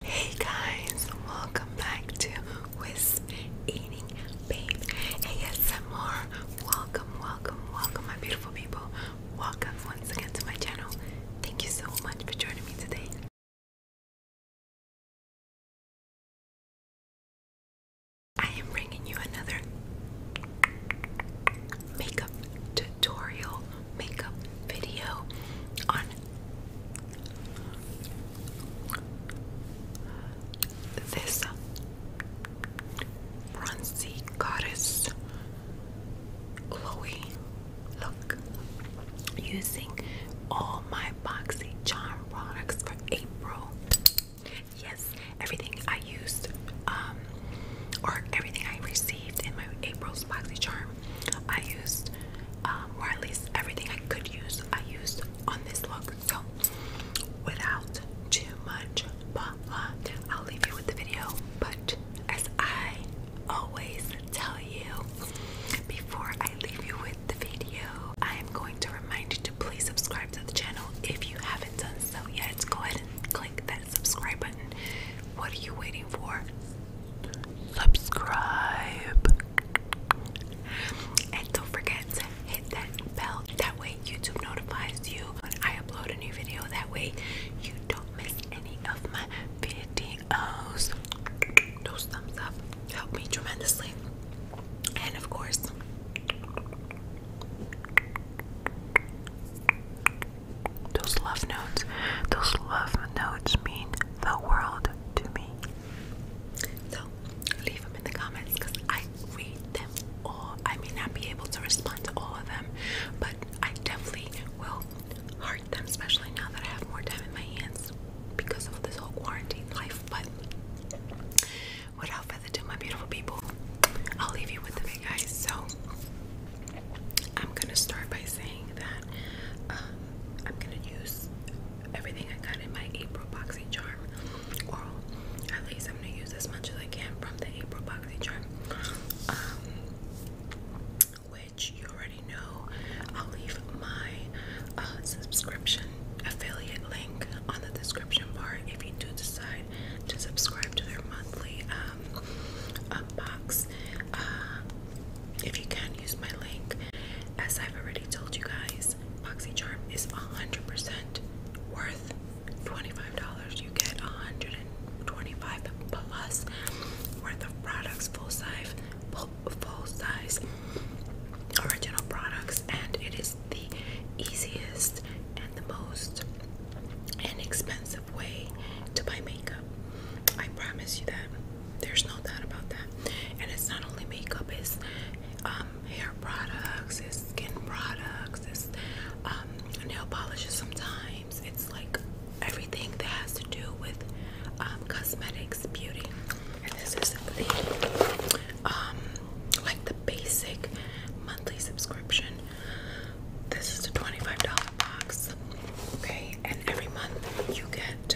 Hey guys, welcome back to Wisp Eating Babe ASMR. Welcome, welcome, welcome, my beautiful people. Welcome once again to my channel. Thank you so much for joining me today. I am bringing you another makeup tutorial, makeup video on this bronzy goddess Chloe. Look, using all my boxy charm products for April. Yes, everything I used, um, or everything I received in my April's boxy charm I used, um, or at least everything I could use, I used on this look. So, without too much blah blah, I'll leave you with the video. But as I always tell you, before I leave you with the video, I am going to remind you to please subscribe to the channel if you haven't done so yet. Go ahead and click that subscribe button. What are you waiting for? subscribe, and don't forget to hit that bell. That way, YouTube notifies you when I upload a new video. That way, you don't miss any of my videos. Those thumbs up help me tremendously, and of course. Those love notes, those love notes mean the world to me. So leave them in the comments because I read them all. I may not be able to respond to all of them, but I definitely will heart them, especially now that I have more time in my hands because of this whole quarantine life. But without further ado, my beautiful people, I'll leave you with the big guys. So I'm gonna start by saying that um, I'm gonna use everything I got in my April BoxyCharm oral. At least I'm gonna use as much as I can from the April BoxyCharm. Um, which you already know. I'll leave my uh, subscription affiliate link on the description bar if you do decide to subscribe to their monthly um, box. Uh, if you can use my link, as I've already told you guys, BoxyCharm is 100% worth $25. You get 125 plus worth of products, full size, full size original products, and it is the easiest and the most inexpensive way to buy makeup. I promise you that. There's no doubt about that. And it's not only makeup, it's um, hair products, it's skin products, it's um, nail polishes sometimes. It's like everything that has to do with um, cosmetics, beauty. And this is the, um, like the basic monthly subscription. This is a $25 box. Okay, and every month you get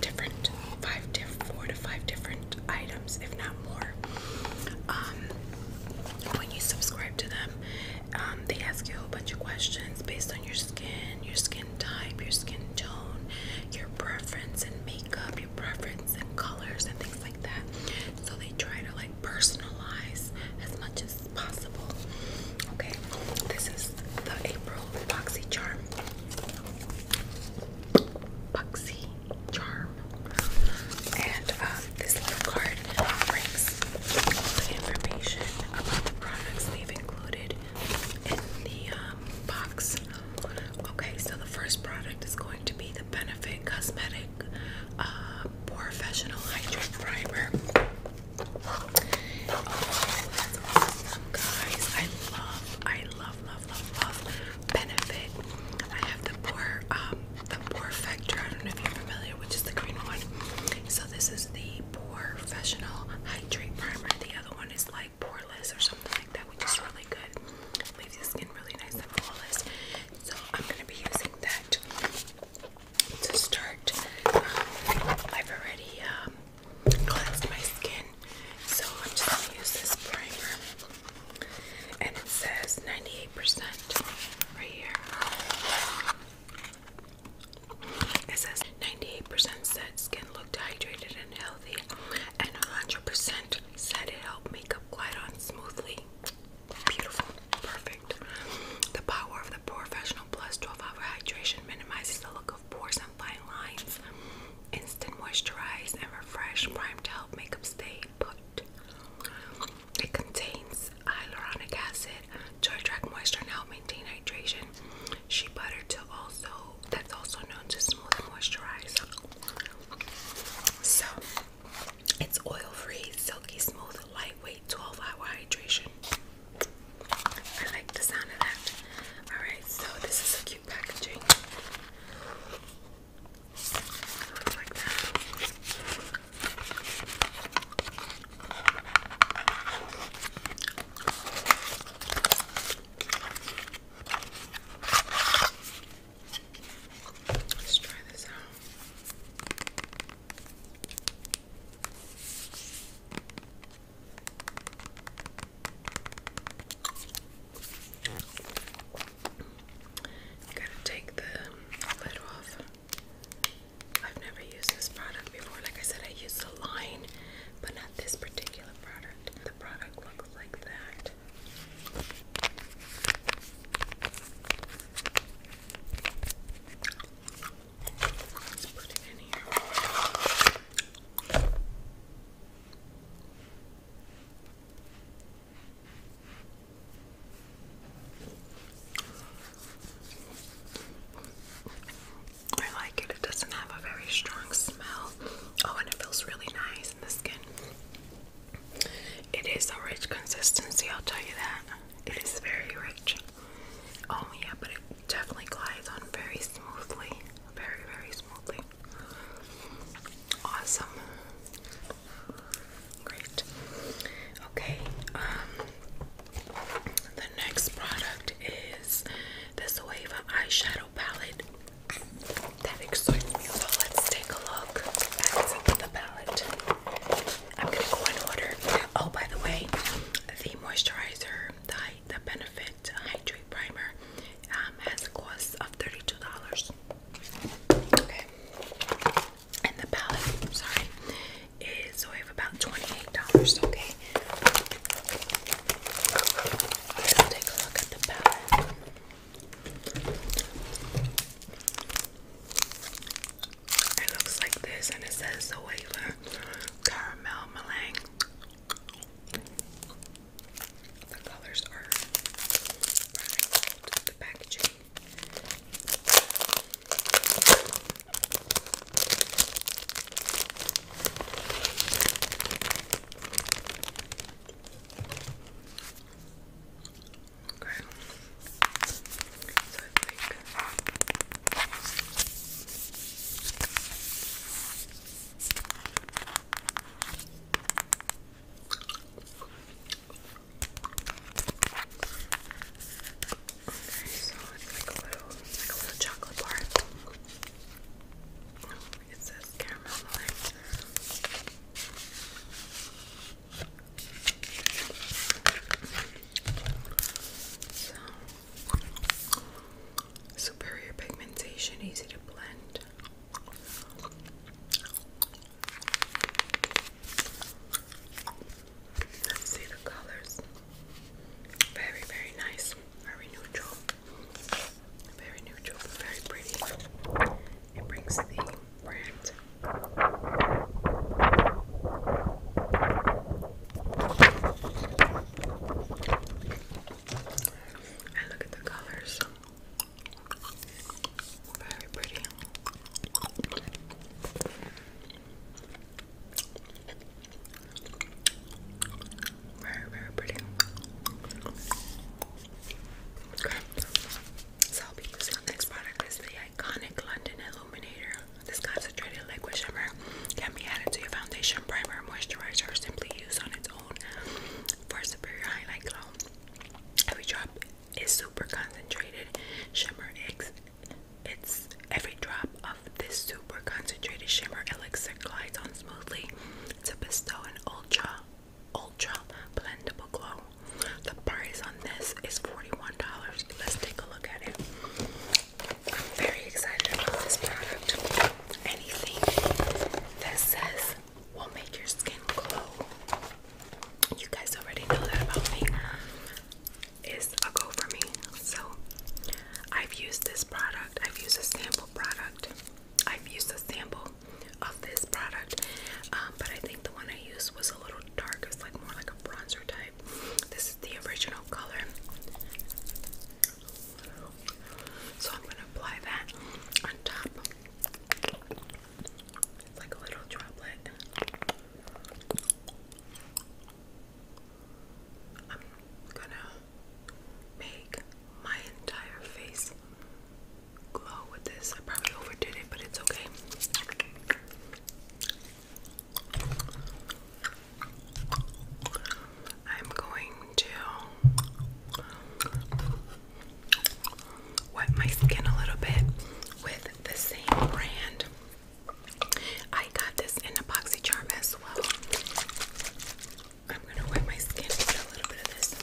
different five to four to five different items, if not more. Um, when you subscribe to them, um, they ask you a bunch of questions based on your skin, your skin type, your skin tone, your preference and makeup, your preference in colors and things like that. So they try to like personalize as much as possible. Okay, this is the April Boxy Charm. Boxy Charm. And um, this little card brings all the information about the products they've included in the um, box. Okay, so the first product is going to be the Benefit Cosmetic uh, Professional Hydrate Primer guys, I love, I love, love, love, love Benefit. I have the Pore, um, the Pore Factor. I don't know if you're familiar, which is the green one. So this is the Pore Professional Hydrate Primer. The other one is like Poreless or something like that, which is really good. Leaves your skin really nice and flawless. So I'm gonna be using that to start. Um, I've already um, cleansed my skin. So I'm just gonna use this primer. And it says 98% right here. It says 98% said skin looked hydrated and healthy, and 100% said it helped makeup glide on smoothly. Beautiful, perfect. The power of the Professional Plus 12 Hour Hydration minimizes the look of pores fine lines. Instant moisturize and refresh prime to help makeup stay put. It contains hyaluronic acid to attract moisture and help maintain hydration. Shea butter to also that's also known to smooth and moisturize. So it's oil-free, silky smooth, lightweight, 12-hour hydration. I like the sound of that. Alright, so this is cute packaging. Let's try this out. You gotta take the lid off. I've never used this product before. Like I said, I use the line, but not this particular product. The product looks like that. I like it. It doesn't have a very strong smell. Oh, and it feels really nice in the skin. It is a rich consistency, I'll tell you that. It is very rich. Oh yeah, but it definitely glides on very smoothly. Very, very smoothly. Awesome. Great. Okay, um the next product is this Wave eyeshadow palette. That excites me. So let's take a look at the palette. I'm gonna go in order. Oh by the way, the moisturizer, the the Benefit Hydrate Primer um, has a cost of $32. Okay. And the palette, sorry, is we have about $28. Okay. Let's take a look at the palette. It looks like this, and it says the Wailer Caramel Meringue the colors are rather the packaging. Okay. So I think work. Okay, so it's like a little, like a little chocolate bar. It says caramel meringue. So Superior pigmentation, easy to blend. Let's see the colors. Very, very nice. Very neutral. Very neutral, very pretty. It brings the brand. And look at the colors. Very pretty. Very, very pretty. Okay. So next product is the Iconic London Illuminator. This concentrated liquid shimmer can be added to your foundation, primer, moisturizer, or simply used on its own for a superior highlight glow. Every drop is super concentrated shimmer. It's every drop of this super concentrated shimmer elixir glides on smoothly to bestow an ultra, ultra blendable glow. The price on this is $41. Let's take a look at it. I'm very excited about this product. Anything that says will make your skin glow. You guys already know that about me. Is a go for me. So I've used this product. I've used a sample product. I've used a sample of this product. Um, but I think the one I used was a little dark. It's like more like a bronzer type. This is the original color. So I'm going to apply that on top. It's like a little droplet. I'm going to make my entire face glow with this. I probably overdid it, but it's okay. I'm going to wet my skin a little bit with the same brand. I got this in epoxy boxy charm as well. I'm gonna wet my skin a little bit of this.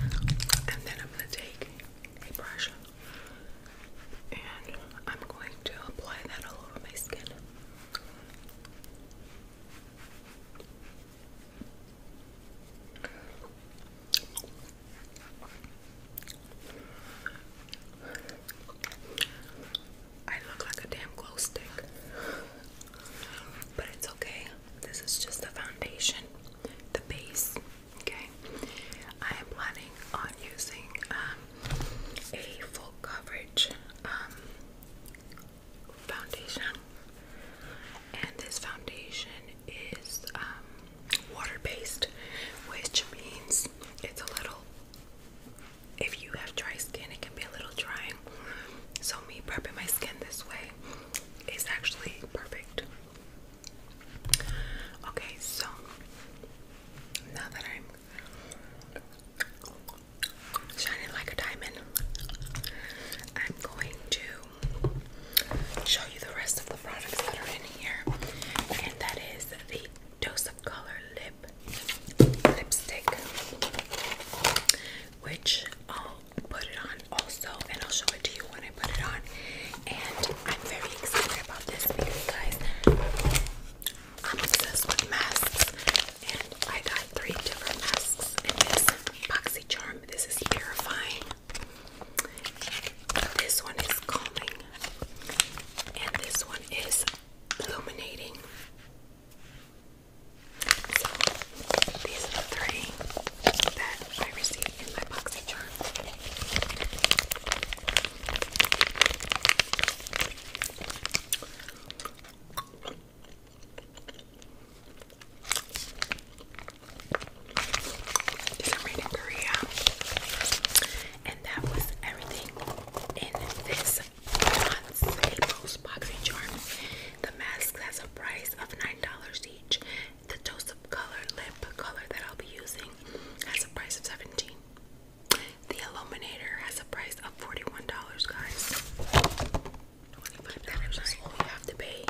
And then I'm going to take a brush and I'm going to apply that all over my skin. I look like a damn glow stick, but it's okay. This is just the foundation, the base. Okay, I am planning on using um, a full coverage um, foundation, and this foundation is um, water based, which means it's a little. If you have dry skin, it can be a little drying. So me prepping my skin this way is actually perfect. Okay, so now that I'm shining like a diamond, I'm going to show you the rest of the products that are in here, and that is the Dose of Color Lip Lipstick, which, um, put it on also, and I'll show it to you when I put it on. And I'm very excited about this because, guys, I'm obsessed with masks, and I got three different masks in this boxy charm. This is purifying. This one is calming, and this one is illuminating. So, these are the three that I received in my boxy charm. These are in Korea. And that was everything in this John Staples boxy charm. The mask has a price of 9 dollars the dose of Color lip color that I'll be using has a price of 17 The Illuminator has a price of $41, guys. $25 is all you have to pay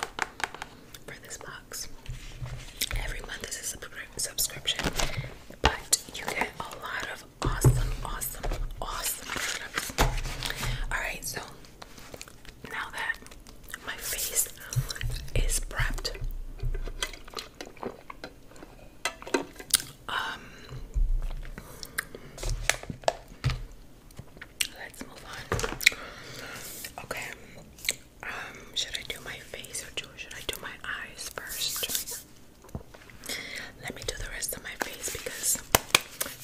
for this box. Every month is a subscription, but you get a lot of awesome, awesome, awesome products. Alright, so now that my face is prepped, um, let's move on. Okay, um, should I do my face or should I do my eyes first? Let me do the rest of my face because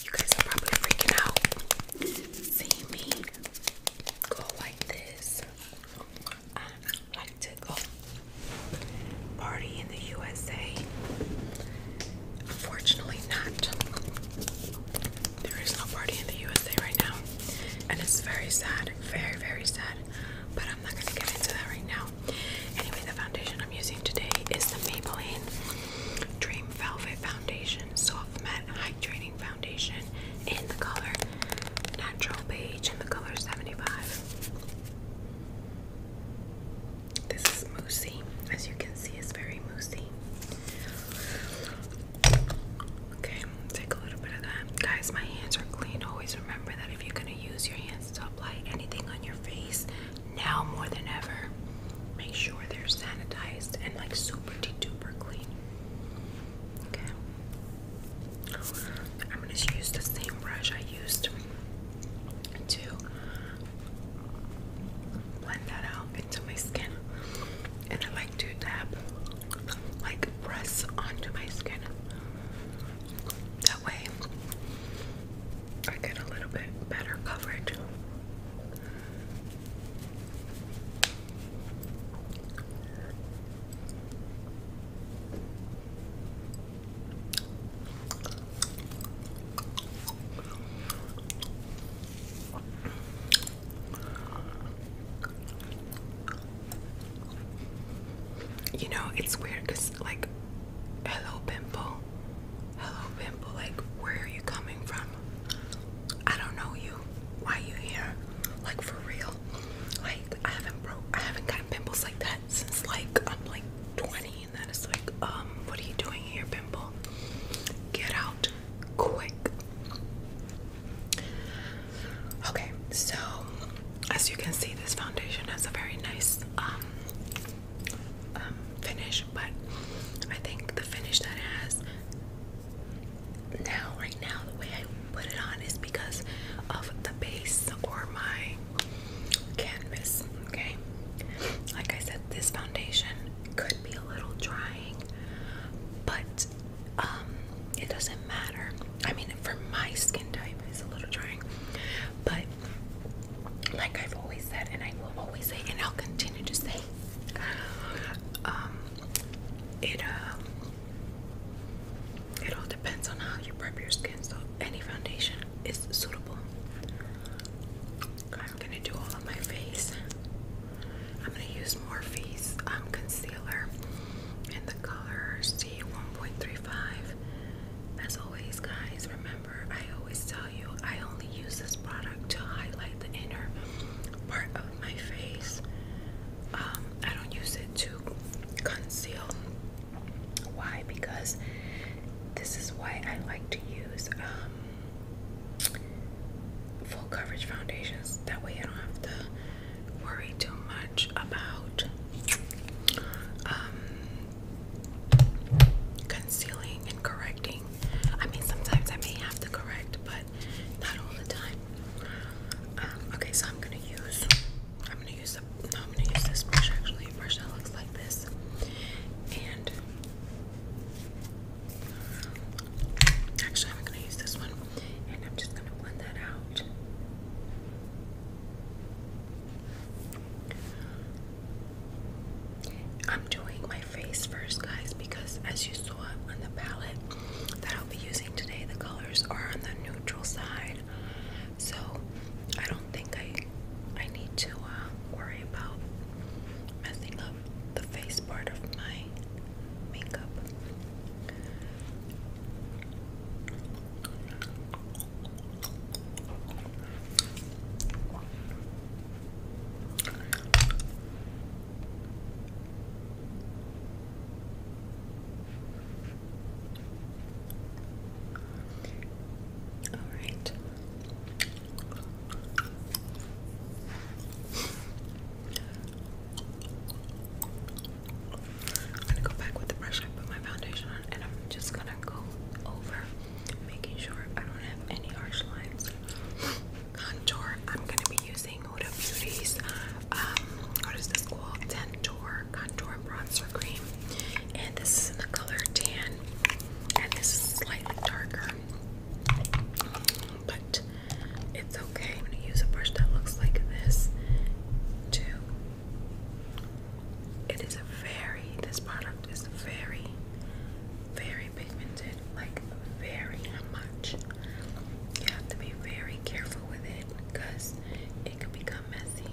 you guys are probably freaking out. See me go like this. I like to go party in the USA. Unfortunately, not. There is no party in the USA right now, and it's very sad, very, very sad. But I'm not gonna get into that right now. Anyway, the foundation I'm using today is the Maybelline Dream Velvet Foundation. Soft Matte Hydrating Foundation in the color Natural Beige in the color 75. This is moussey. As you can see, it's very moussey. Okay, take a little bit of that. Guys, my hands are clean. Always remember that if you're going to use your hands to apply anything on your face, now more than ever, make sure they're sanitized and like super duper clean. Okay. I'm gonna use the same brush I used to blend that out into my skin. And I like to tap, like press onto my skin. That way I get a little bit better coverage. You know, it's weird because, like, hello, pimple, hello, pimple, like, where are you coming from? I don't know you. Why you here? Like for real? Like I haven't broke. I haven't gotten pimples like that since like I'm like 20, and that is like, um, what are you doing here, pimple? Get out, quick. Okay, so as you can see, this foundation has a very nice um, um finish but I think the finish that has now, right now, the way I put it on is because of the base or my canvas. Okay, like I said, this foundation could be a little drying, but um, it doesn't matter. I mean, for my skin type, it's a little drying, but like I've always said, and I will always say, and I'll continue to say, um, it uh, it all depends on how you prep your skin. So any foundation is suitable. I'm gonna do all of my face. I'm gonna use Morphe's um, concealer in the color C1.35. As always, guys, remember I always tell you I only only use this product to highlight the inner part of my face. Um, I don't use it to conceal. Why? Because this is why I like to use um, full coverage foundations. That way I don't have to worry too much about um, concealing and correcting I mean, sometimes I may have to correct, but not all the time. Um, okay, so I'm gonna use. I'm gonna use the. I'm gonna use this brush actually. brush that looks like this, and actually, I'm gonna use this one, and I'm just gonna blend that out. I'm doing my face first, guys, because as you saw on the palette that I'll be using today, the colors are on the neutral side. So I don't think I I need to uh, worry about messing up the face part of my makeup. All right. I'm gonna go back with the brush. I put my foundation on, and I'm just gonna go over, making sure I don't have any harsh lines contour. I'm going to be using Oda Beauty's, um, what is this called? Dentor Contour Bronzer Cream. And this is in the color tan. And this is slightly darker. But it's okay. I'm going to use a brush that looks like this too. It is a very, this product is very, very pigmented, like very much. You have to be very careful with it because it could become messy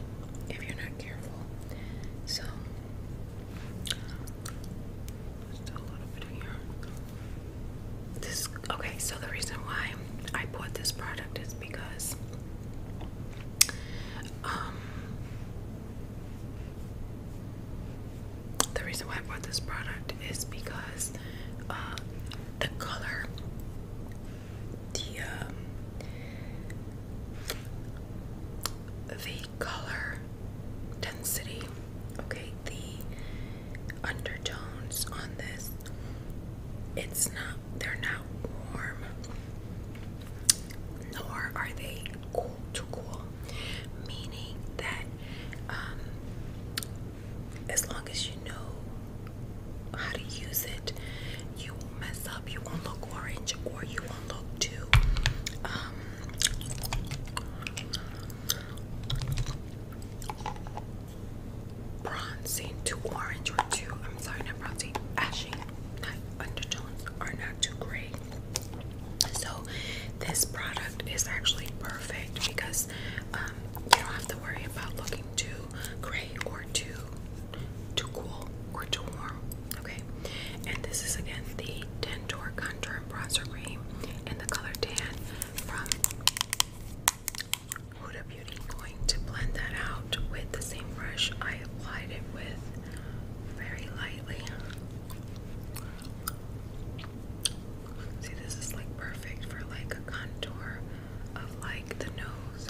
if you're not careful. So, just a little bit here. This okay. So the reason why I bought this product is because um, the reason why I bought this product is because uh, the color, the um, the color density, okay, the undertones on this, it's not they're not warm, nor are they cool to cool, meaning that um, as long as you know how to use it, you won't mess up, you won't look orange, or you won't look too. Um, Bronzing orange or too, I'm sorry, not bronzing, ashy, not undertones are not too gray. So this product is actually perfect because um, you don't have to worry about looking too gray or too too cool or too warm. Okay, and this is again the Dentor Contour Bronzer Cream in the color tan from Huda Beauty. Going to blend that out with the same brush I applied it with very lightly. See, this is like perfect for like a contour of like the nose.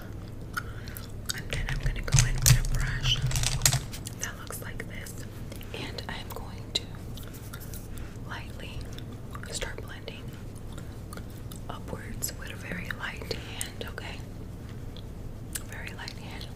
And then I'm gonna go in a brush that looks like this. And I'm going to lightly start blending upwards with a very light hand, okay? Very light hand.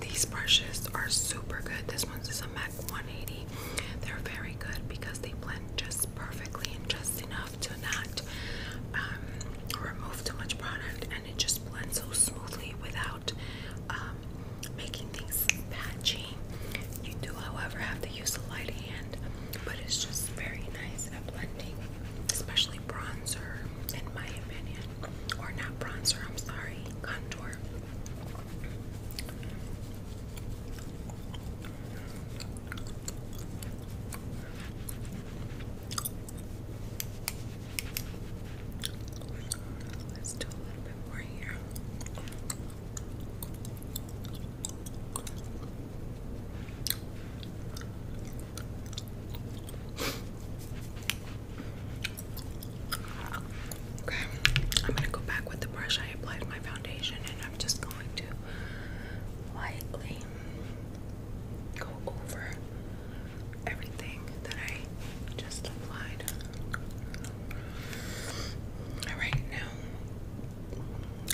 These brushes are super good. This one's is a MAC 180. They're very good because they blend just perfectly and just enough to not um, remove too much product, and it just blends so smoothly without um, making things patchy. You do, however, have to use a light hand, but it's just very nice at blending, especially bronzer, in my opinion, or not bronzer. I'm sorry, contour. Let's do a little bit more here. Okay, I'm gonna go back with the brush I applied my foundation, and I'm just going to lightly go over everything that I just applied. All right, now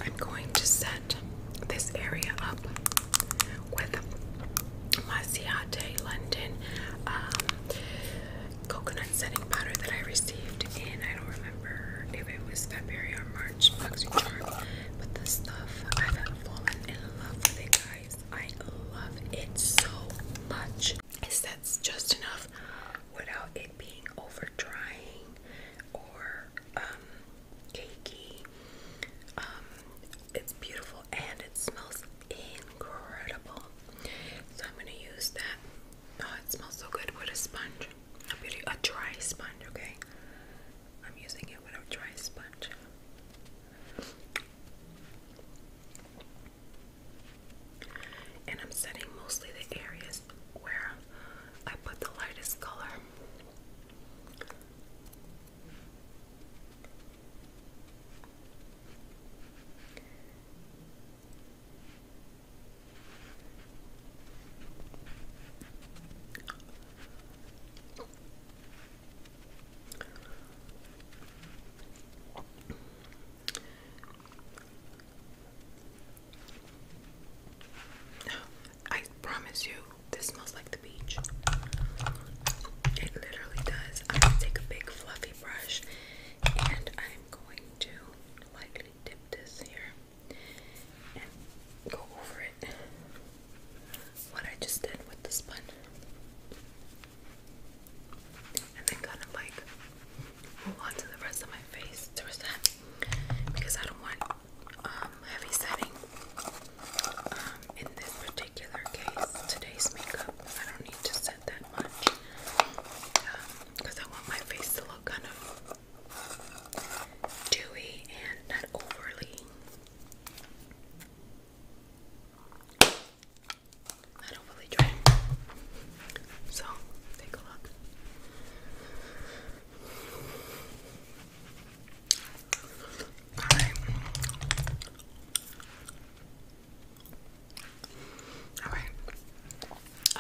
I'm going to set this area up with my Ciate London um, coconut setting powder that I received in, I don't remember if it was February or March, Luxury Charm, but the stuff I've fallen in love with it, guys. I love it so much. It sets just enough without it being over drying or um, cakey. Um, it's beautiful and it smells incredible. So I'm gonna use that. Oh, it smells so good with a sponge beauty, a dry sponge, okay? I'm using it with a dry sponge. And I'm setting mostly the areas where I put the lightest color. I promise you, this smells like the beach. It literally does. I'm going to take a big fluffy brush and I'm going to lightly already this here and go over it. What I just did with the sponge. And then kind of like move on the rest of my face to set because I don't want um, heavy setting um, in this particular case. Today's makeup, I don't need to set that much because um, I want my face to look kind of dewy and not overly not overly dry. So take a look. Alright. Alright.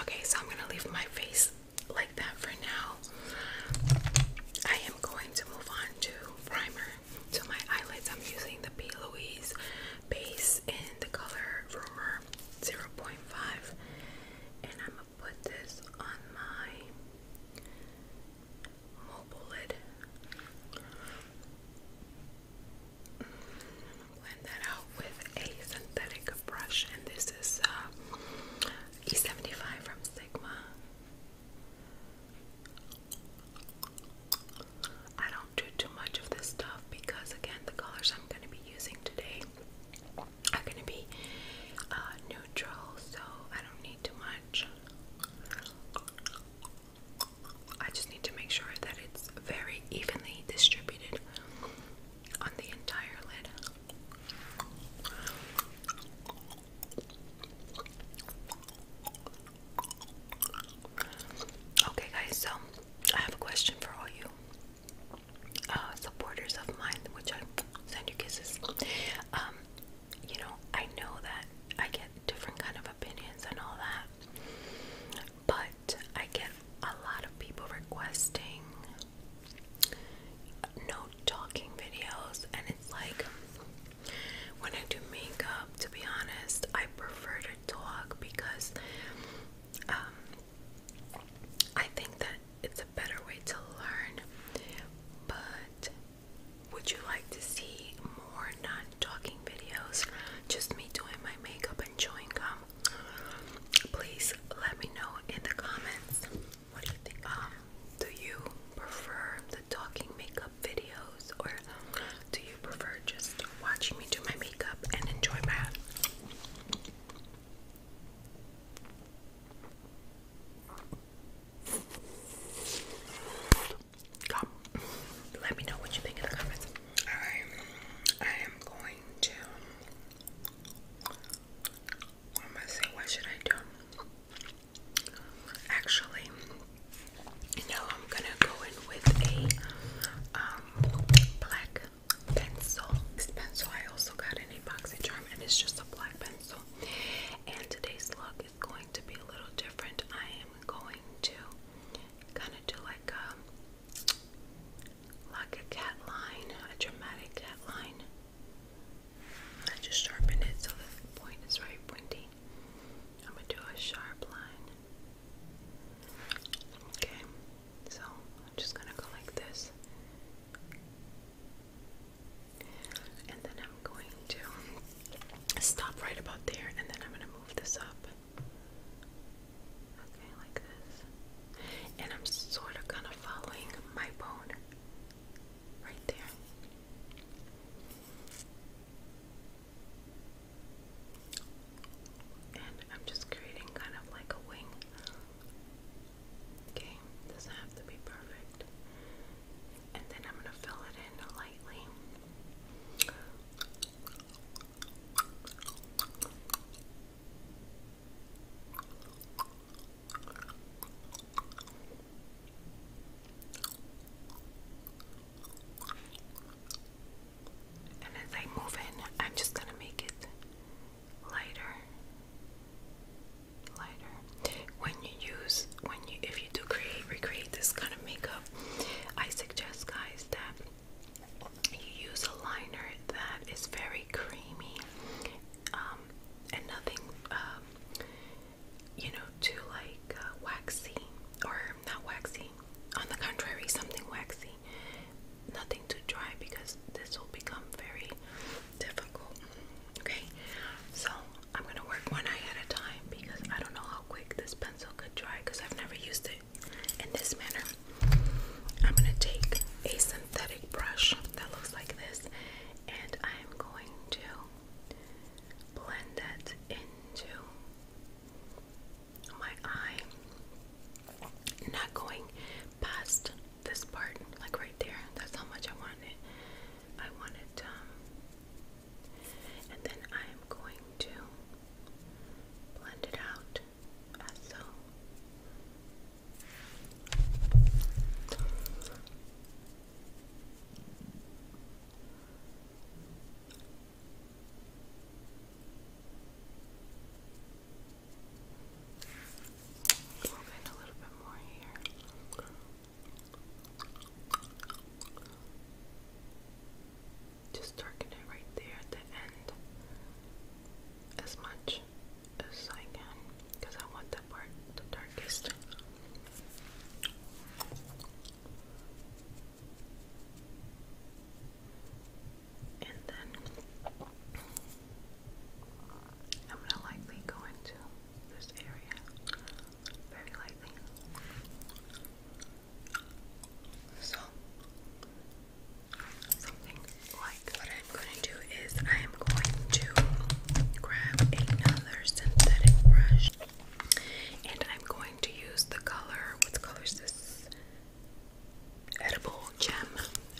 Okay, so I'm gonna leave my face like that for now. I am going to move on to primer. To my eyelids, I'm using the P. Louise base in the color Rumor 0.5, and I'm gonna put this on my mobile lid blend that out with a synthetic brush, and this is uh, E75 from Sigma. I don't do too much of this stuff because, again, the colors I'm going to be using today are going to be uh, neutral, so I don't need too much. I just need to make sure that it's very evenly distributed on the entire lid. Okay, guys, so I have a question for all you uh, supporters of mine, which I send you kisses. Um, you know, I know that I get different kind of opinions and all that, but I get a lot of people requesting no talking videos, and it's like when I do makeup, to be honest, I prefer to talk because um, I think that it's a better way to learn. But would you like to see more non talking videos? Just me doing my makeup chewing gum, please let me know in the comments. What do you think? Um, do you prefer the talking makeup videos, or do you prefer just watching me do my makeup and enjoy my? Come, let me know what you think in the comments. Alright, I am going to what am I saying? What should I do? Actually, no, I'm gonna go in with a um, black pencil. This pencil I also got in a charm, and it's just a black pencil. And today's look is going to be a little different. I am going to kind of do like a like a cat line, a dramatic cat line. I just sharpened it so the point is very pointy. I'm gonna do a sharp line. Okay, so I'm just gonna go like this. And then I'm going to stop right about there and then I'm gonna move this up. Okay, like this. And I'm sort of kind of following my bone right there. And I'm just creating kind of like a wing. Okay, doesn't have to be perfect. And then I'm gonna fill it in lightly. And as I move in, I'm just going to make it lighter. Lighter. When you use, when you, if you do create, recreate this kind of makeup, I suggest, guys, that you use a liner that is very creamy um, and nothing, um, you know, too like uh, waxy or not waxy. On the contrary, something waxy, nothing too dry because this will become very difficult. Okay, so I'm gonna work one eye at a time because I don't know how quick this pencil could dry because I've never used it in this manner. I'm going to take a synthetic brush that looks like this and I'm going to blend it into my eye. Not going past this part, like right there. That's how much I want it. I want it, um, and then I am going to blend it out just as a little bit more here. Just darken it right there at the end as much as I can because I want that part the darkest. And then I'm gonna likely go into this area very lightly. So what I'm gonna do is I am going to grab another synthetic brush, and I'm going to use the color. What color is this? Edible gem,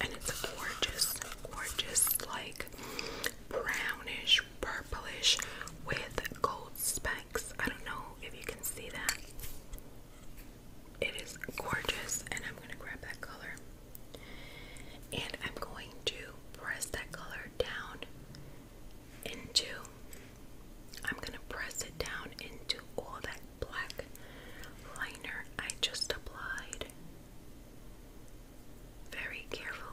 and it's a gorgeous, gorgeous like brownish, purplish with gold specks. I don't know if you can see that. It is gorgeous, and I'm going to grab that color. And I'm going to press that color down into, I'm going to press it down into all that black liner I just applied very carefully.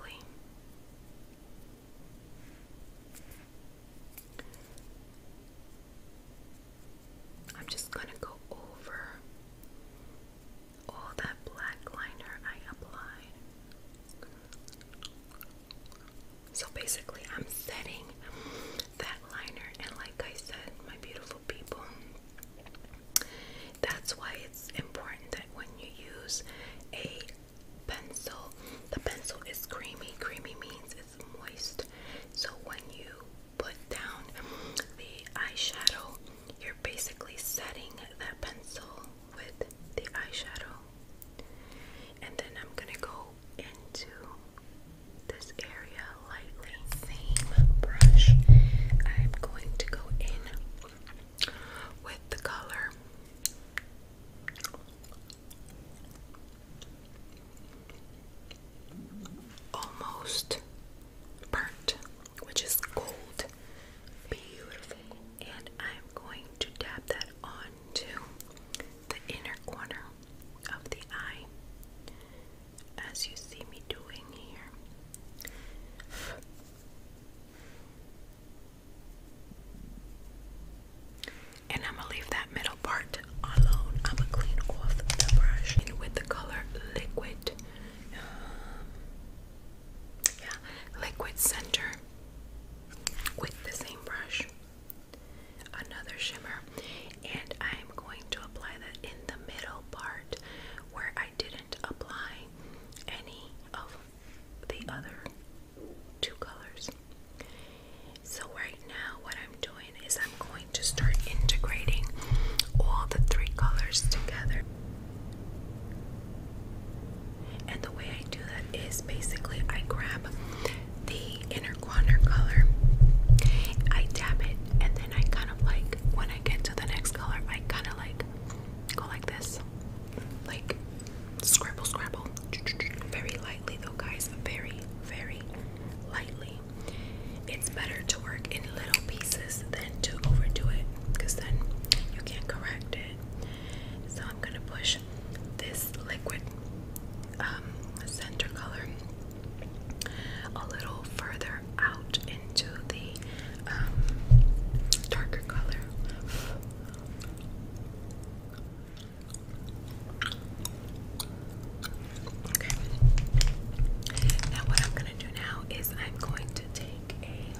I'm just going to go over all that black liner I applied. So basically, I'm setting that liner, and like I said, my beautiful people, that's why it's important that when you use a pencil, the pencil is creamy. Creamy means it's moist. So when you put down the eyeshadow, you're basically setting that pencil with the eyeshadow. And then I'm gonna go into this area lightly. Same brush. I'm going to go in with the color almost burnt, which is gold. Beautiful. And I'm going to dab that onto the inner corner of the eye, as you see me doing here. And I'm gonna leave that middle part alone. I'm gonna clean off the brush and with the color liquid. Um, liquid center with the same brush another shimmer and I'm going to apply that in the middle part where I didn't apply any of the other two colors so right now what I'm doing is I'm going to start integrating all the three colors together. And the way I do that is basically I grab the inner corner color, I dab it, and then I kind of like when I get to the next color, I kind of like go like this, like scrabble, scrabble, very lightly though, guys, very, very lightly. It's better to work in little pieces than to overdo it because then you can't correct it. So I'm going to push this liquid um, center color a little further out into the um, darker color. Now what I'm gonna do now is I'm going to take a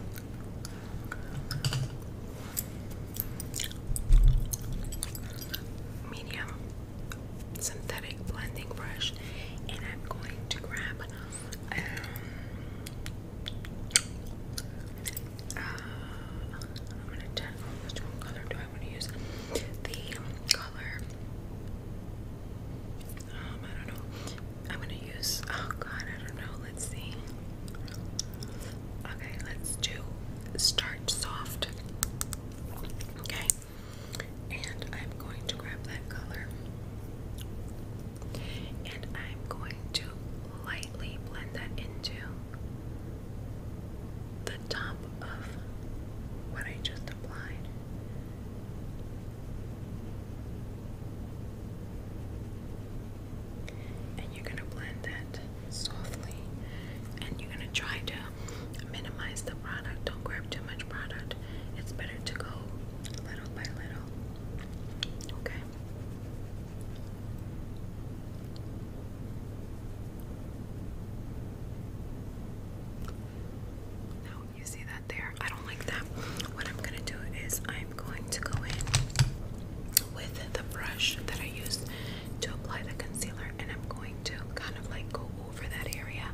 medium synthetic blending brush and I'm going to grab um, uh, I'm gonna turn on color do I want to use? The color um, I don't know. I'm gonna use. Oh God, I don't know. Let's see. Okay, let's do start soft. Okay, and I'm going to grab that color, and I'm going to lightly blend that into the top of what I just and you're going to blend that softly. And you're going to try to minimize the product. Don't grab too much product. It's better to go little by little. Okay? Now you see that there? I don't like that. What I'm gonna do is I'm going to go in with the brush that I used to apply the concealer, and I'm going to kind of like go over that area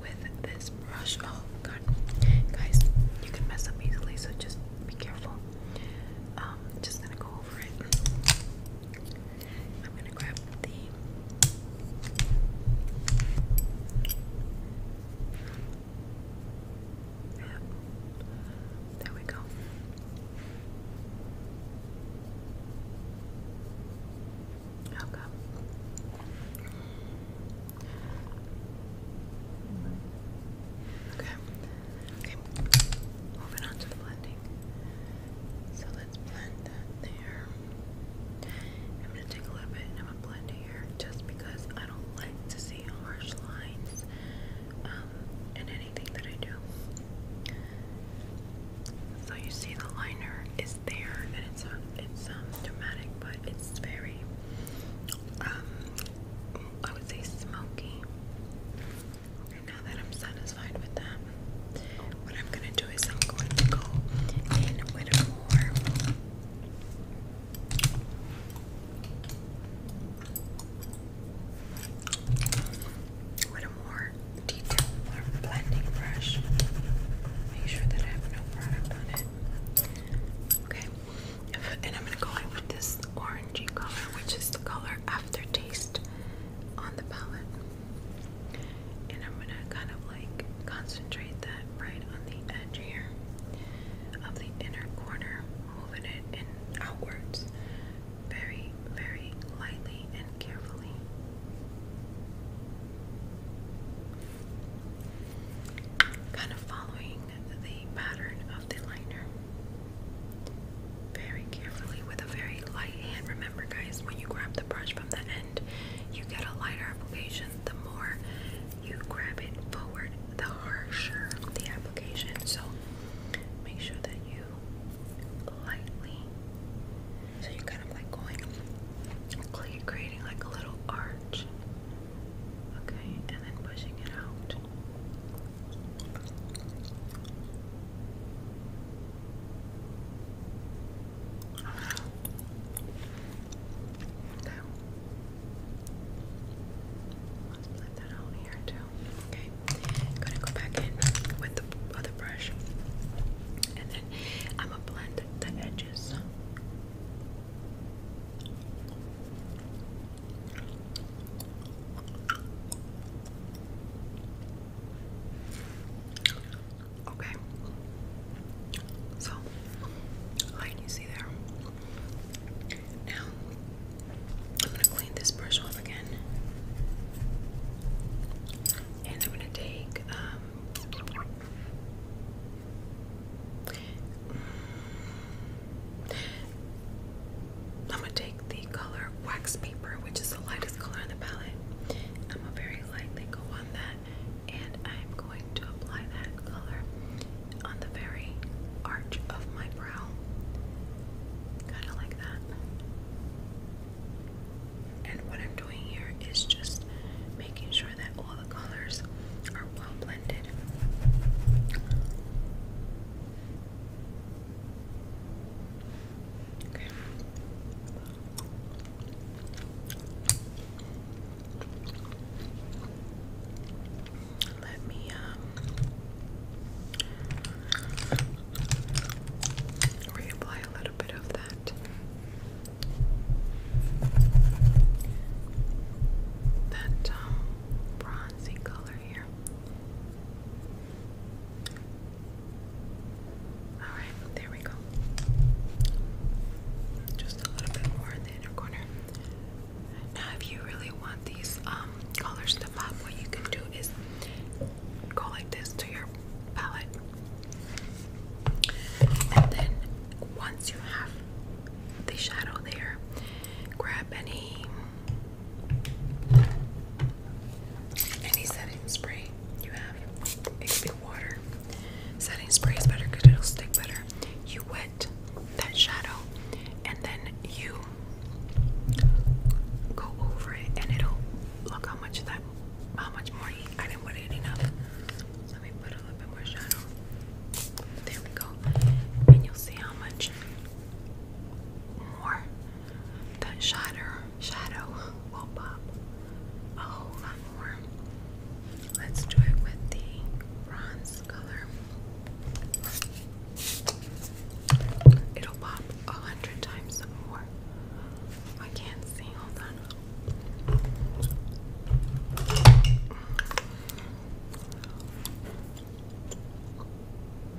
with this brush. Oh god, guys, you can mess up easily, so just be careful. Um, just gonna go over it. I'm gonna grab the yeah. There we go. Okay. Okay. Moving on to the blending. So let's blend that there. I'm gonna take a little bit and I'm gonna blend here just because I don't like to see harsh lines um, in anything that I do. So you see the liner is there and it's um, it's um dramatic but it's very um I would say smoky. And now that I'm satisfied with that, what I'm gonna do is I'm going to go in with a more with a more detailed blending brush. Make sure that I have no product on it. Okay, and I'm going with this orangey color, which is the color aftertaste on the palette. And I'm gonna kind of like concentrate that right on the edge here of the inner corner, moving it in outwards very, very lightly and carefully. Kind of following the pattern of the liner. Very carefully with a very light hand. Remember, guys, when you grab the brush from the you get a lighter application, the more you grab it forward, the harsher the application. So make sure that you lightly, so you're kind of like going, creating like a little arch, okay, and then pushing it out. Okay. Let's blend that out here too. Okay. gonna go back in with the other brush. And then I'm gonna blend the edges. Okay. So, like you see there. Now, I'm going to clean this brush off again. And I'm going to take, um, mm, I'm going to take the color wax paper, which is the lightest color in the palette. I'm going to very lightly go on that and I'm going to apply that color on the very arch of my brow, kind of like that. And what I'm doing here is just making sure that all the colors are well blended. Okay. Let me um reapply a little bit of that. That um, bronzy color here. Alright, there we go. Just a little bit more in the inner corner. Now, if you really want these um, colors to pop, what you can do is go like this to your palette. And then, once you have the shadow there, grab any any setting spray you have. It could be water. Setting spray is better because it'll stick better. You wet that shadow and then you go over it and it'll look how much that how much more I didn't put it enough. let me put a little bit more shadow. There we go. And you'll see how much more that shadow shadow will pop a oh, whole lot more. Let's do it with the bronze color. It'll pop a hundred times more. I can't see. Hold on.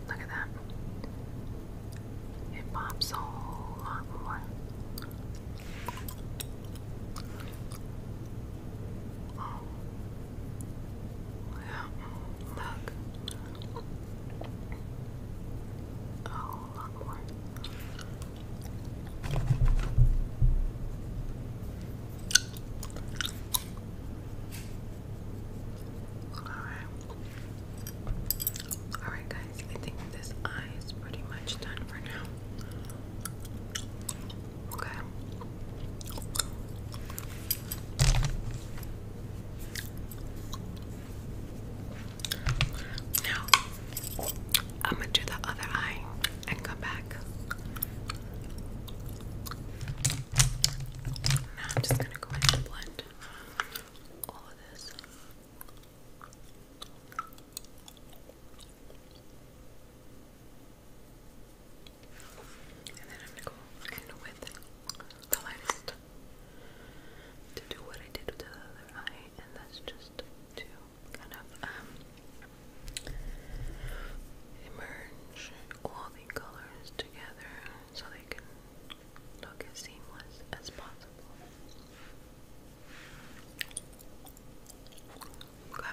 Look at that. It pops a whole lot more. Oh. Yeah, look. Oh, a more. Alright. Alright guys, I think this eye is pretty much done for now. Okay. Now, I'm gonna do the other eye and come back. Now, I'm just gonna go ahead and blend all of this. And then I'm gonna go in with the lightest to do what I did with the other eye, and that's just to kind of um, merge all the colors together so they can look as seamless as possible. Okay.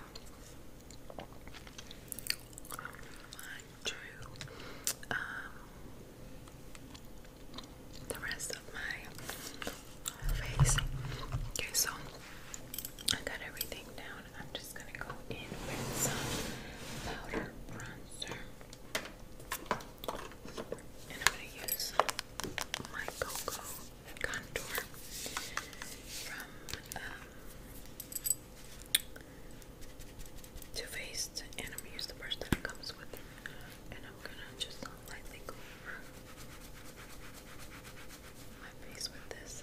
To um, the rest of my face. Okay, so I got everything down. I'm just gonna go in with some powder bronzer, and I'm gonna use my Cocoa contour from um, Too Faced, and I'm going the brush that comes with, and I'm gonna just lightly go my face with this.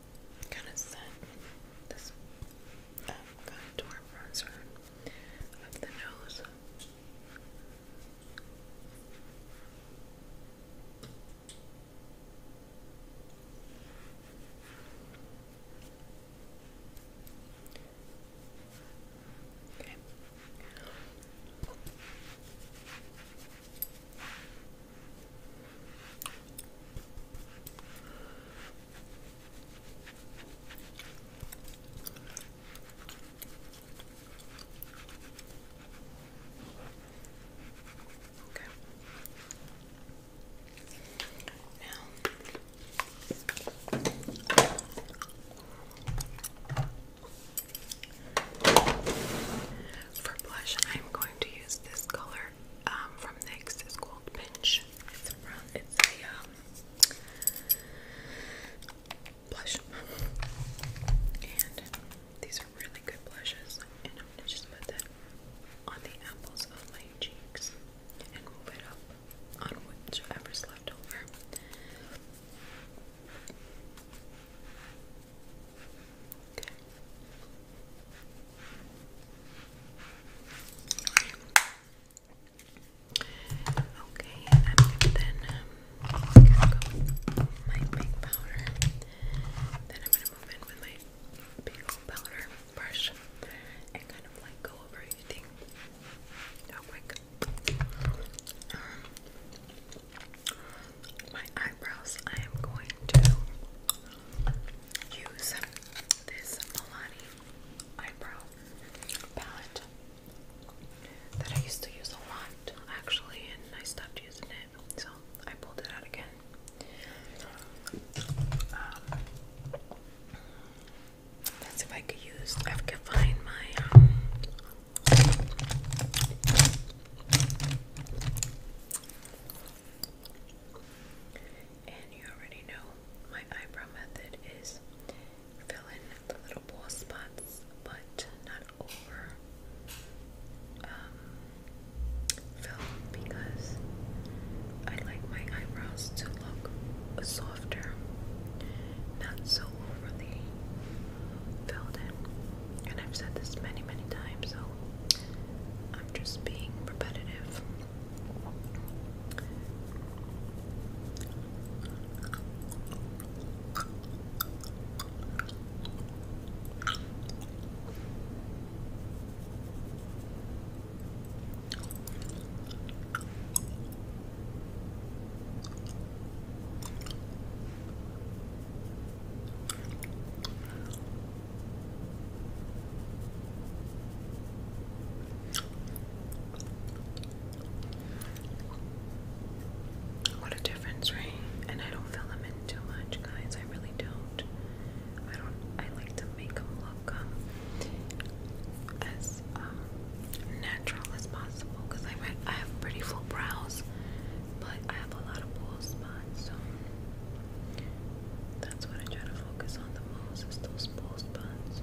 kind of set this um, contour bronzer of the nose. Okay for blush, I'm going to use this color um, from NYX. It's called Pinch. It's around, it's a um, blush. And these are really good blushes. And I'm just put that on the apples of my cheeks and move it up on whichever's left over. Okay. Okay, i then um, my pink powder. Then I'm gonna move in with my pink powder brush and kind of like go over everything real quick. Um, my eyebrows, I am going to use this Milani eyebrow palette that I used to use a lot actually, and I stopped using it, so I pulled it out again. Um, let's see if I could use. I can find my. Um, and you already know my eyebrow method is fill in the little ball spots but not over um, fill because I like my eyebrows to look softer not so overly filled in and I've said this many many times so I'm just being repetitive. What a difference, right? And I don't fill them in too much, guys. I really don't. I don't. I like to make them look um, as um, natural as possible because I have pretty full brows, but I have a lot of bull spots. So that's what I try to focus on the most is those post buns.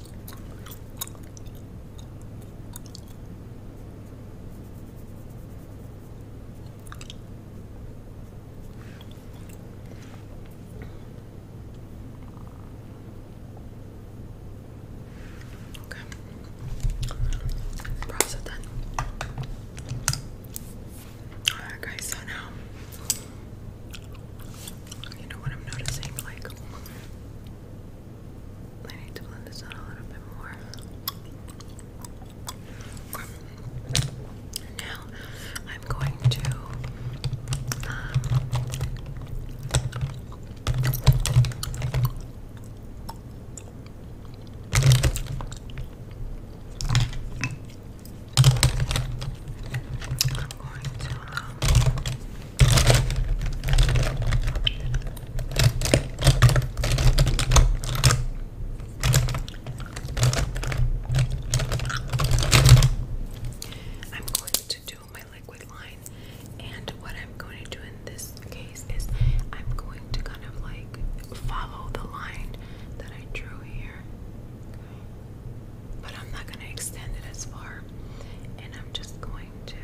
Okay. Process it so now you know what I'm noticing, like I need to blend this out a little bit more. Now I'm going to um, I'm going to um, I'm going to do my liquid line, and what I'm going to do in this case is I'm going to kind of like follow the line that I drew here but I'm not going to extend it as far. And I'm just going to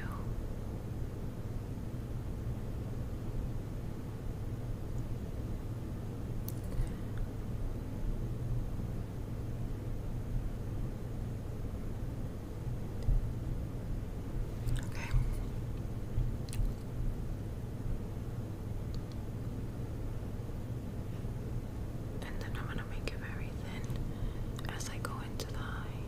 Okay and then I'm gonna make it very thin as I go into the eye.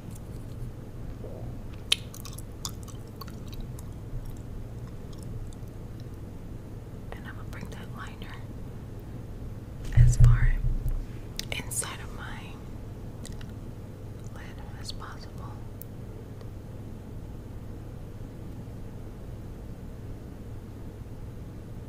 And I'm gonna bring that liner as far inside of my lid as possible.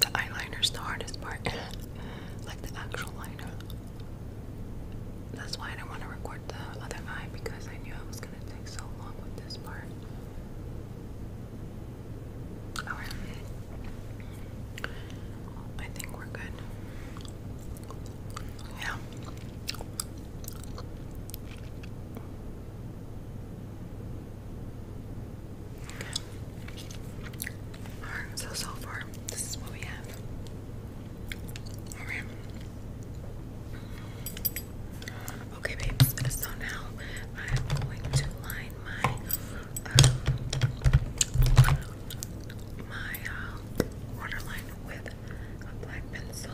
The eyeliner is the hardest part, like the actual liner. That's why I don't want to record the other eye because I knew I was gonna so long with this part. Alright. I think we're good. Yeah. Alright, so so far this is what we have. Alright. Okay, baby. So now I'm going to line my um, my uh, waterline with a black pencil,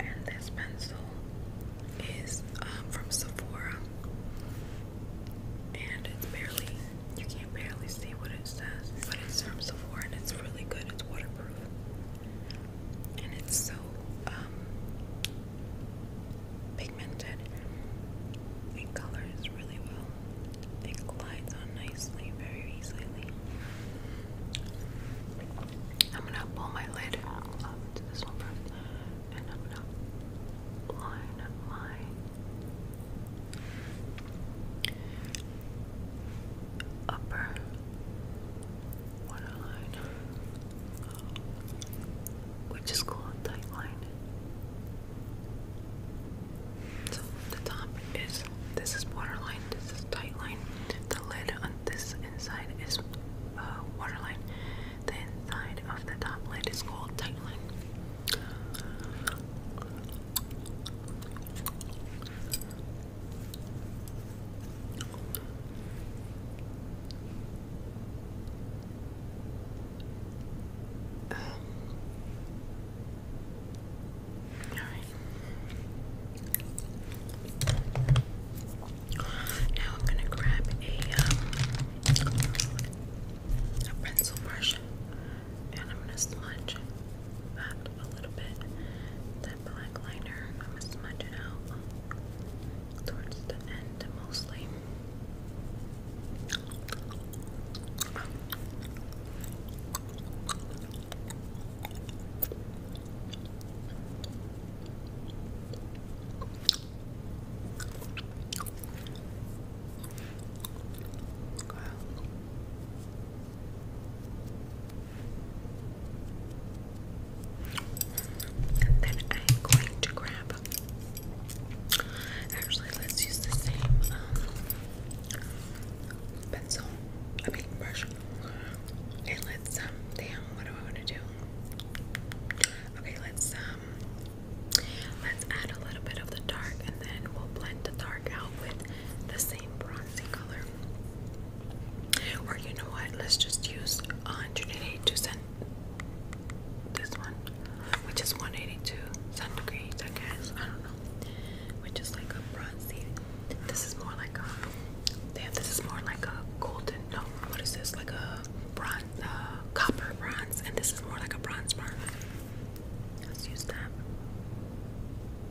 and this pencil is um, from Sephora, and it's barely you can not barely see what it says, but it's from Sephora and it's really good. It's waterproof. And it's so um, pigmented. It colors really well. It glides on nicely, very easily. I'm gonna pull my lid up to this one first, and I'm gonna line my upper waterline, oh, which is called tight So the top is this is waterline, this is tight line. The lid on this inside is uh, waterline. The inside of the top lid is called tight line. Um, all right. Now I'm gonna grab a um, a pencil brush and I'm gonna smudge that a little bit. That black liner, I'm gonna smudge it out towards the end mostly. And then I'm going to grab. Actually, let's use the same um, pencil. I mean, And let's, um, damn, what do I want to do? Okay, let's, um, let's add a little bit of the dark and then we'll blend the dark out with the same bronzy color. Or you know what? Let's just use 182 cent this one, which is 182 centigrade, I guess. I don't know. Which is like a bronzy. This is more like a damn. This is more like a golden. No, what is this? Like a bronze, uh, copper bronze, and this is more like a bronze bronze. Let's use that.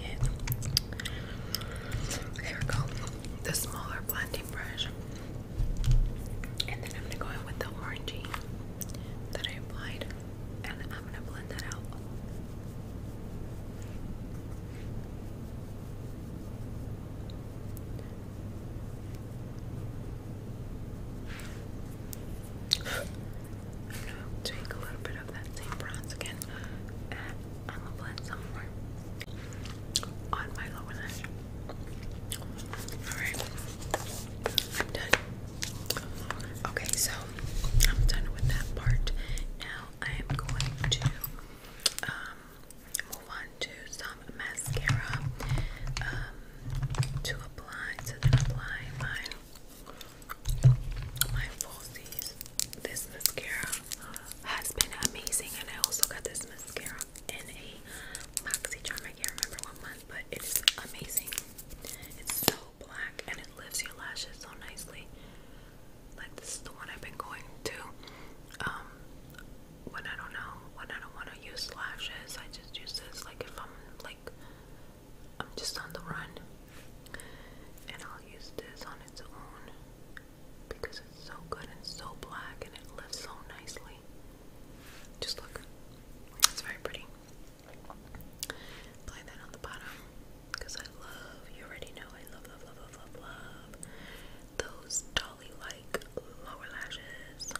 Here we go. The smaller blending brush. And then I'm gonna go in with the orangey that I applied and I'm gonna blend that out. i take a little bit of that same bronze again I'm gonna put some more on my lower lash. Alright, I'm done. Okay, so I'm done with that part. Now I am going to um, move on to some mascara um, to apply, to apply my, my falsies. This mascara has been amazing. And I also got this mascara in a Moxie charm. I can't remember what month, but it is amazing. It's so black and it lifts your lashes so nicely. Like this is the one I've been going to. Um, when I don't know, when I don't want to use lashes, I just use this. Like if I'm like, I'm just on the run, and I'll use this on its own because it's so good and so black and it lifts so nicely. Just look. It's very pretty. Apply that on the bottom because I love, you already know, I love, love, love, love, love, love those dolly like lower lashes.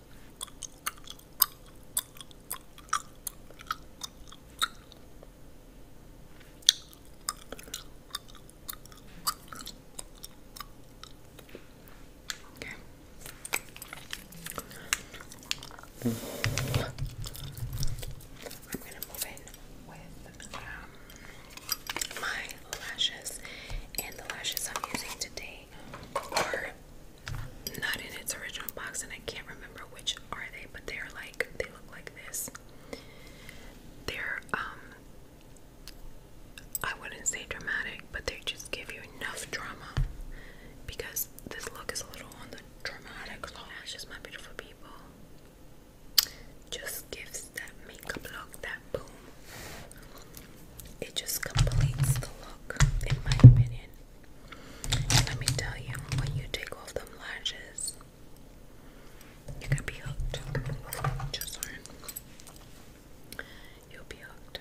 Okay. I'm gonna move in with um, my lashes, and the lashes I'm using today are not in its original box, and I can't remember which are they, but they're like they look like this. They're um I wouldn't say dramatic, but they just give you enough drama because this look is a little on the dramatic Just my beautiful people. Just gives that makeup look, that boom. It just completes the look, in my opinion. let me tell you, when you take off them lashes, you're be hooked. Just learn. You'll be hooked.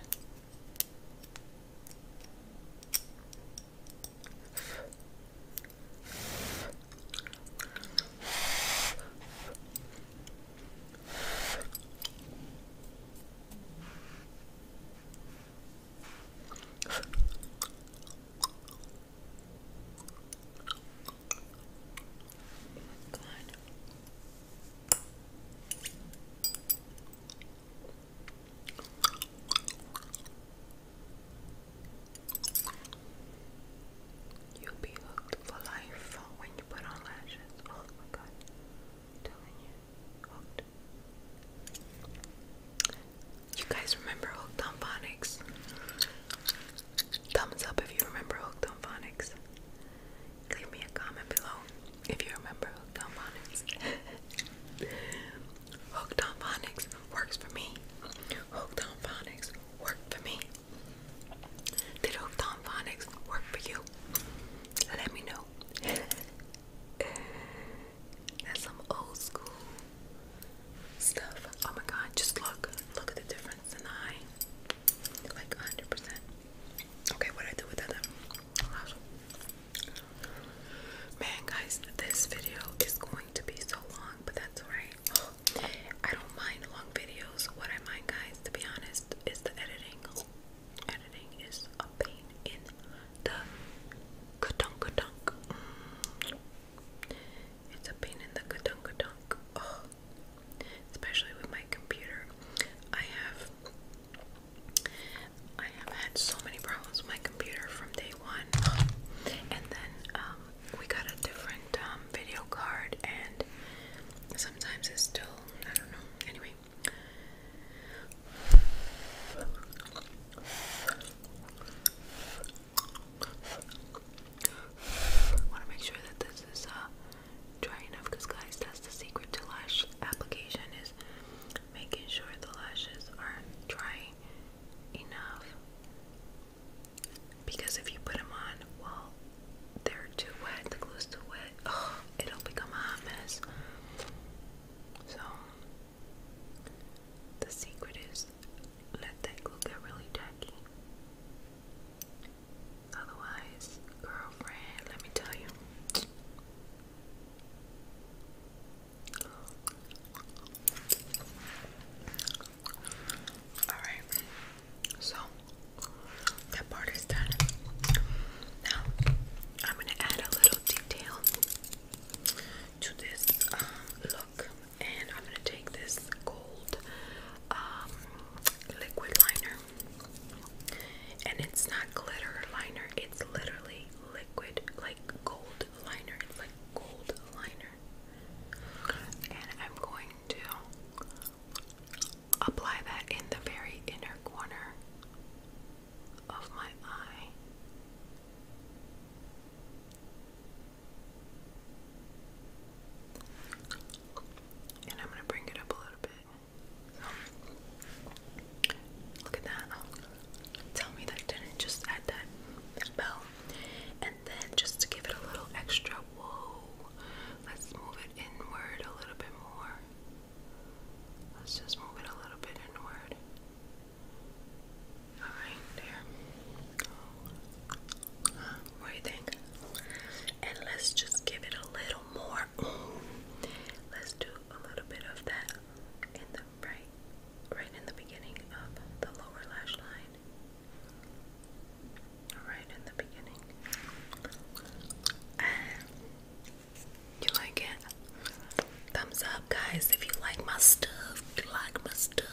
God. You'll be hooked for life when you put on lashes. Oh my god you. You guys remember Hooked on Phonics? Thumbs up if you remember Hooked on Phonics. Leave me a comment below if you remember Hooked on Phonics. Hooked on Phonics works for me. Hooked on Phonics worked for me. Did Hooked on Phonics work for you? let me know. Uh, that's some old school stuff. Oh my god, just look. Look at the difference in the eye. Like 100%. Okay, what I do with that? Man, guys, this video is going to be so long, but that's alright. I don't mind long videos. What I mind, guys, to be honest, is the editing. Editing is a pain in the ka-dunk dunk. Mm. It's a pain in the ka-dunk dunk. Oh. Especially with my computer. I have I have had so many problems with my computer from day one. And then um we got a different um video card and sometimes it's still I don't know. Anyway, sorry. Want to make sure that this is uh, dry enough, because guys, that's the secret to lash application is making sure the lashes are dry enough. Because if you put them on while they're too wet, the glue's too wet, oh, it'll become a mess. So, the secret is let that glue get really tacky. Otherwise, girlfriend, let me tell you. Alright, so that part is done. Now, I'm going to add a little detail to this uh, look, and I'm going to take this gold um, liquid liner, and it's not glitter liner, it's literally liquid, like gold liner. It's like gold liner, and I'm going to apply that in the very inner corner of my eye. And I'm going to bring it up a little bit. Look at that. Tell me that didn't just add that bell. And then just to give it a little extra, whoa, let's move it inward a little bit more. Let's just move it a little bit inward. Alright, there. What do you think? And let's just give it a little more. Let's do a little bit of that in the right right in the beginning of the lower lash line. Right in the beginning. You like it? Thumbs up, guys, if you like my stuff. like my stuff.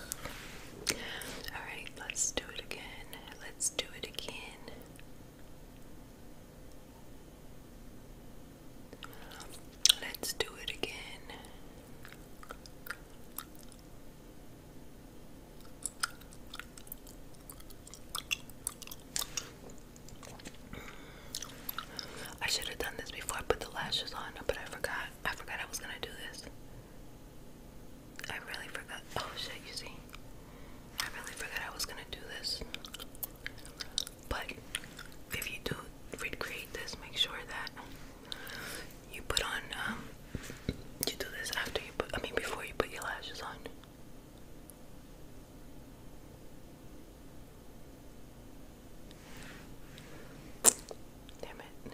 Alright, let's do it again. Let's do it again. Let's do it again. I should have done this before I put the lashes on, but I forgot. I forgot I was gonna do this. I really forgot. Oh shit, you see. I really forgot I was gonna do this. But if you do recreate this, make sure that you put on, um, you do this after you put, I mean, before you put your lashes on. Damn it.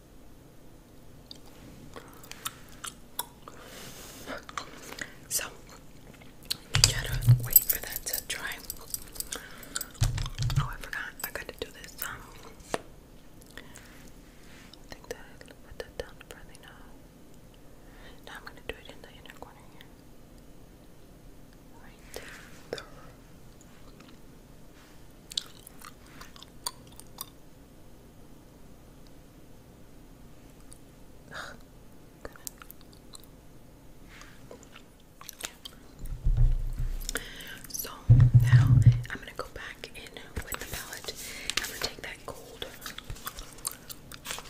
So gotta wait for that to dry. Oh, I forgot. I got to do this. Um, think that I put that down further now. Now I'm gonna do it in the inner corner here. Right there. So now I'm gonna go back in with the palette. I'm gonna take that gold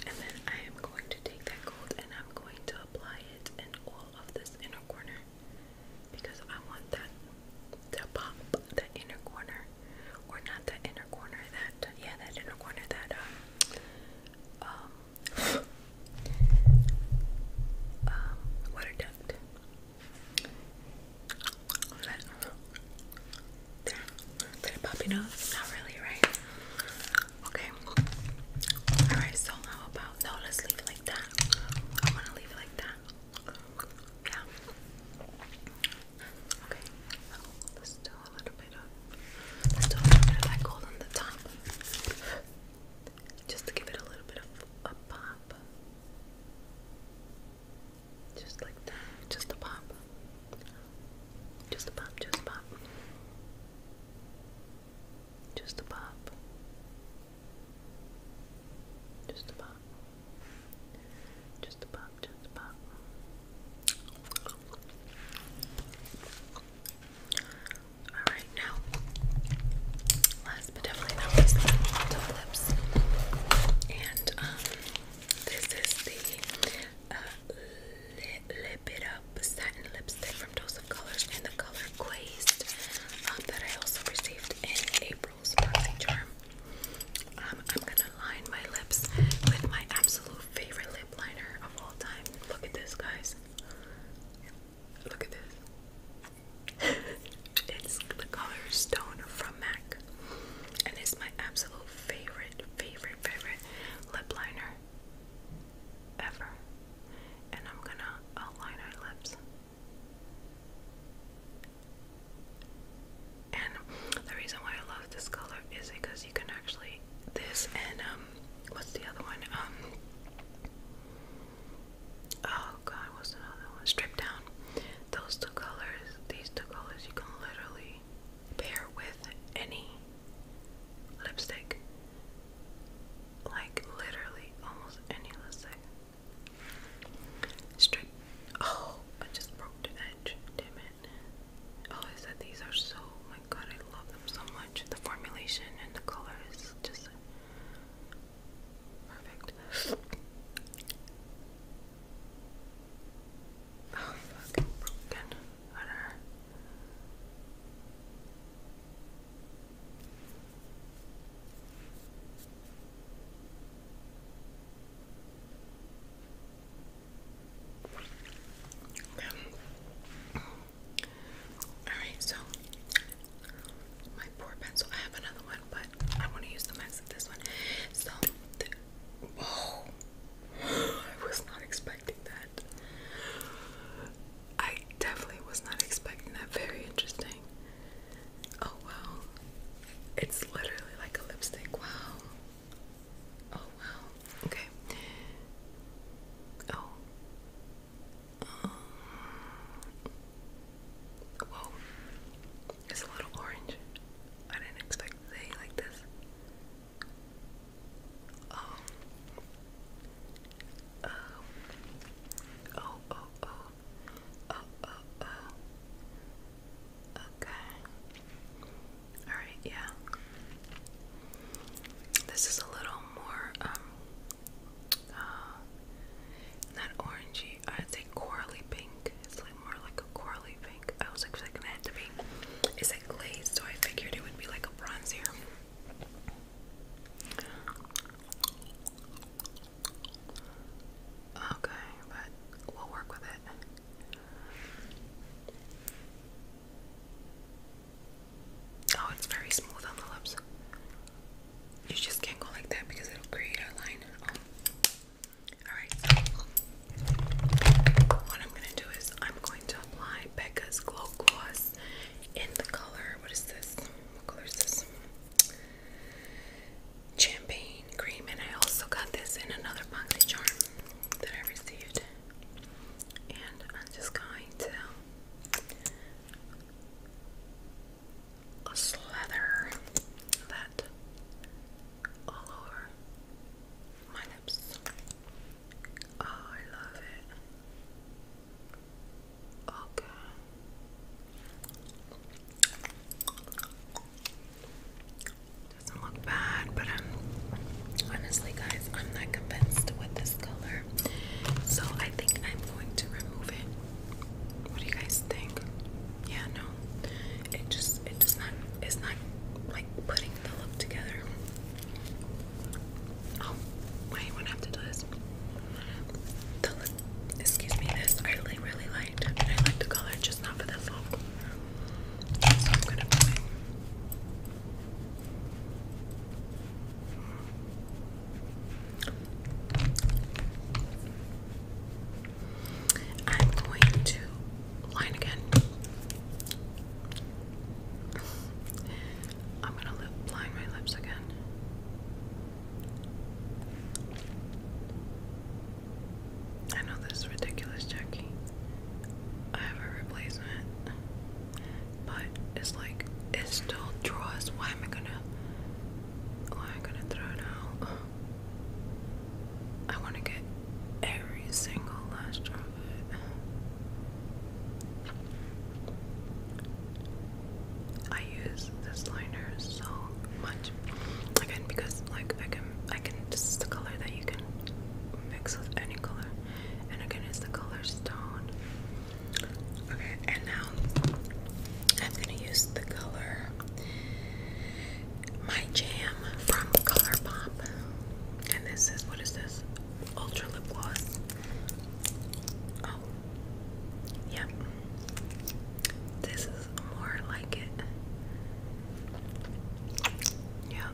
and then I am going to take that gold and I'm going to apply it in all of this inner corner because I want that to pop the inner corner or not that inner corner, that yeah, that inner corner, that um, um, um water duct. that, there, did it pop your nose? Not really, right? Okay. All right. So how about no? Let's leave it like that. I'm to leave it like that. Yeah. Okay, let's do a little bit of, let's do a little bit of that gold on the top. Just to give it a little bit of a pop. Just like that, Just a pop, just a pop. Just a pop. Just a pop. Just above, just above. Alright, now, last but definitely not least, we need the lips. And, um, this is the uh, Lip, It Up Satin Lipstick from Dose of Colors in the color Quaste um, that I also received in a um, I'm gonna line my lips with my absolute favorite lip liner of all time. Look at this, guys. Look at this. it's the color Stone from MAC. And it's my absolute favorite, favorite, favorite lip liner ever. And I'm gonna outline our lips. And the reason why I love this color is because you can actually this and um what's the other one? Um Oh god, what's the other one? Strip down. Those two colors, these two colors you can literally pair with any lipstick. Like literally almost any lipstick. Strip. Oh, I just broke the edge. Damn it. Oh, I said these are so. Oh my God, I love them so much. The formulation and the color just perfect. Oh, fucking broken. Alright, so my poor pencil. I have another one, but I want to use the max of this one. So, whoa. I was not expecting that. I definitely was not expecting that. Very interesting. Oh, wow. It's literally like a lipstick. Wow. Oh, wow. Okay. Oh. Um, whoa. It's a little orange. I didn't expect it like this. Um, uh, oh. Oh. Oh, oh, oh. Oh, oh, oh. Okay. Alright, yeah. This is a little more, um, uh, not orangey. I'd say corally pink. It's like more like a corally pink. I was expecting it to be. It's like glazed, so I figured it would be like a bronzier. Okay, but we'll work with it. Oh, it's very smooth on the lips. You just can't go like that because it'll create a line. Oh. Alright, what I'm going to do is I'm going to apply Becca's Glow Gloss in the color. What is this? What color is this? champagne cream, and I also got this in another boxy charm that I received. And I'm just going to slather that all over my lips. Oh, I love it. Okay. Oh, doesn't look bad, but I'm honestly, guys, I'm not convinced with this color, so I think I'm going to remove it. What do you guys think? Yeah, no, it just it does not it's not like putting the look together. Oh, wait, when I have to do this, excuse me, this I really, really liked. I like the color, just not for this look. So I'm gonna put line again. I'm gonna line my lips again. I know this is ridiculous, Jackie. I have a replacement. But it's like it still draws. Why am I gonna why am I gonna throw it out? I wanna get every single last drop of it. I use this liner so much. Again because like I can I can this is the color that you can mix with any color and again it's the color stone okay and now I'm gonna use the color my jam from Colourpop and this is what is this ultra lip gloss oh yep this is more like it yeah.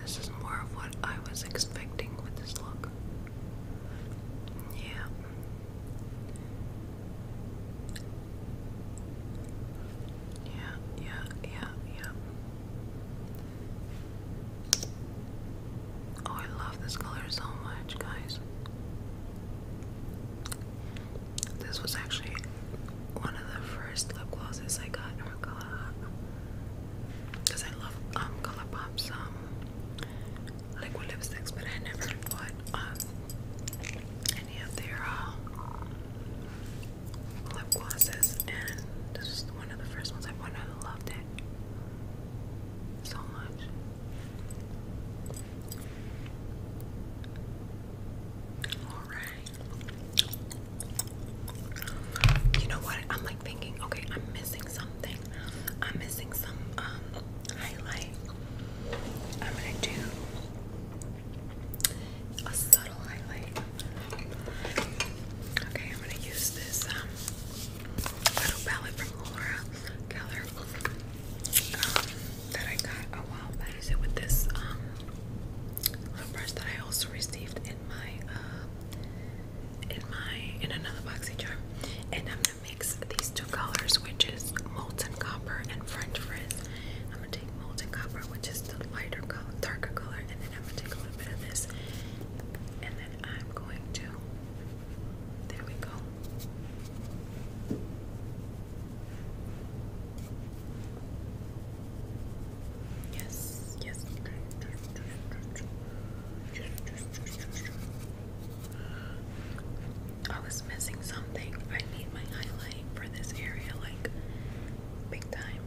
This is more of what I was expecting with this look. Yeah. Yeah, yeah, yeah, Oh, I love this color so much, guys. This was actually one of the first lip glosses I got from Colour because I love um Colour Pop's um liquid lipsticks, but I never bought um any of their uh, lip glosses, and this was one of the first ones I bought. And I loved it so much. All right. You know what? I'm like thinking, okay, I'm missing something. I'm missing some um, highlight. I'm gonna do a subtle highlight. Okay, I'm gonna use this um, little palette from Laura Keller that I got a while back. I use it with this um, little brush that I also received in my uh, in my in another boxy charm. And I'm gonna mix these two colors, which is molten copper and French frizz. I'm gonna take molten copper, which is the lighter color, darker color, and then I'm gonna take a little bit of this, and then I'm going to. There we go. Yes, yes, okay. I was missing something. I need my highlight for this area, like big time.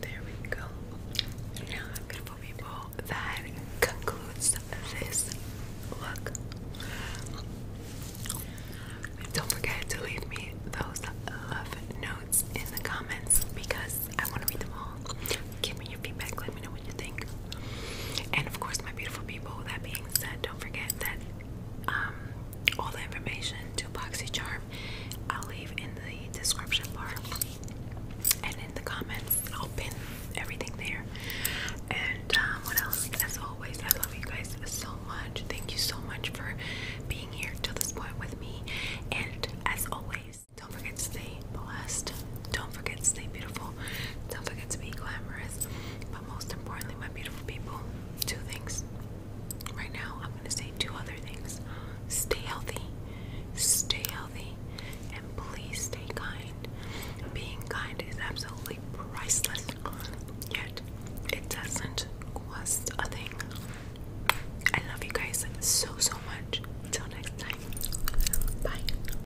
There we go. Now I'm gonna put people that concludes this look. Don't forget to leave me those love notes in the comments because I want to read them all. Give me your feedback, let me know what you think. And of course, my beautiful people, that being said, don't forget that um, all the information to BoxyCharm I'll leave in the description bar in the comments. I'll pin everything there. And um, what else? As always, I love you guys so much. Thank you so much for being here till this point with me. And as always, don't forget to stay blessed. Don't forget to stay beautiful. Don't forget to be glamorous. But most importantly, my beautiful people, two things. Right now, I'm going to say two other things. Stay healthy. Stay healthy and please stay kind. Being kind is absolutely priceless, yet it doesn't cost a thing. I love you guys so, so much. Till next time. Bye.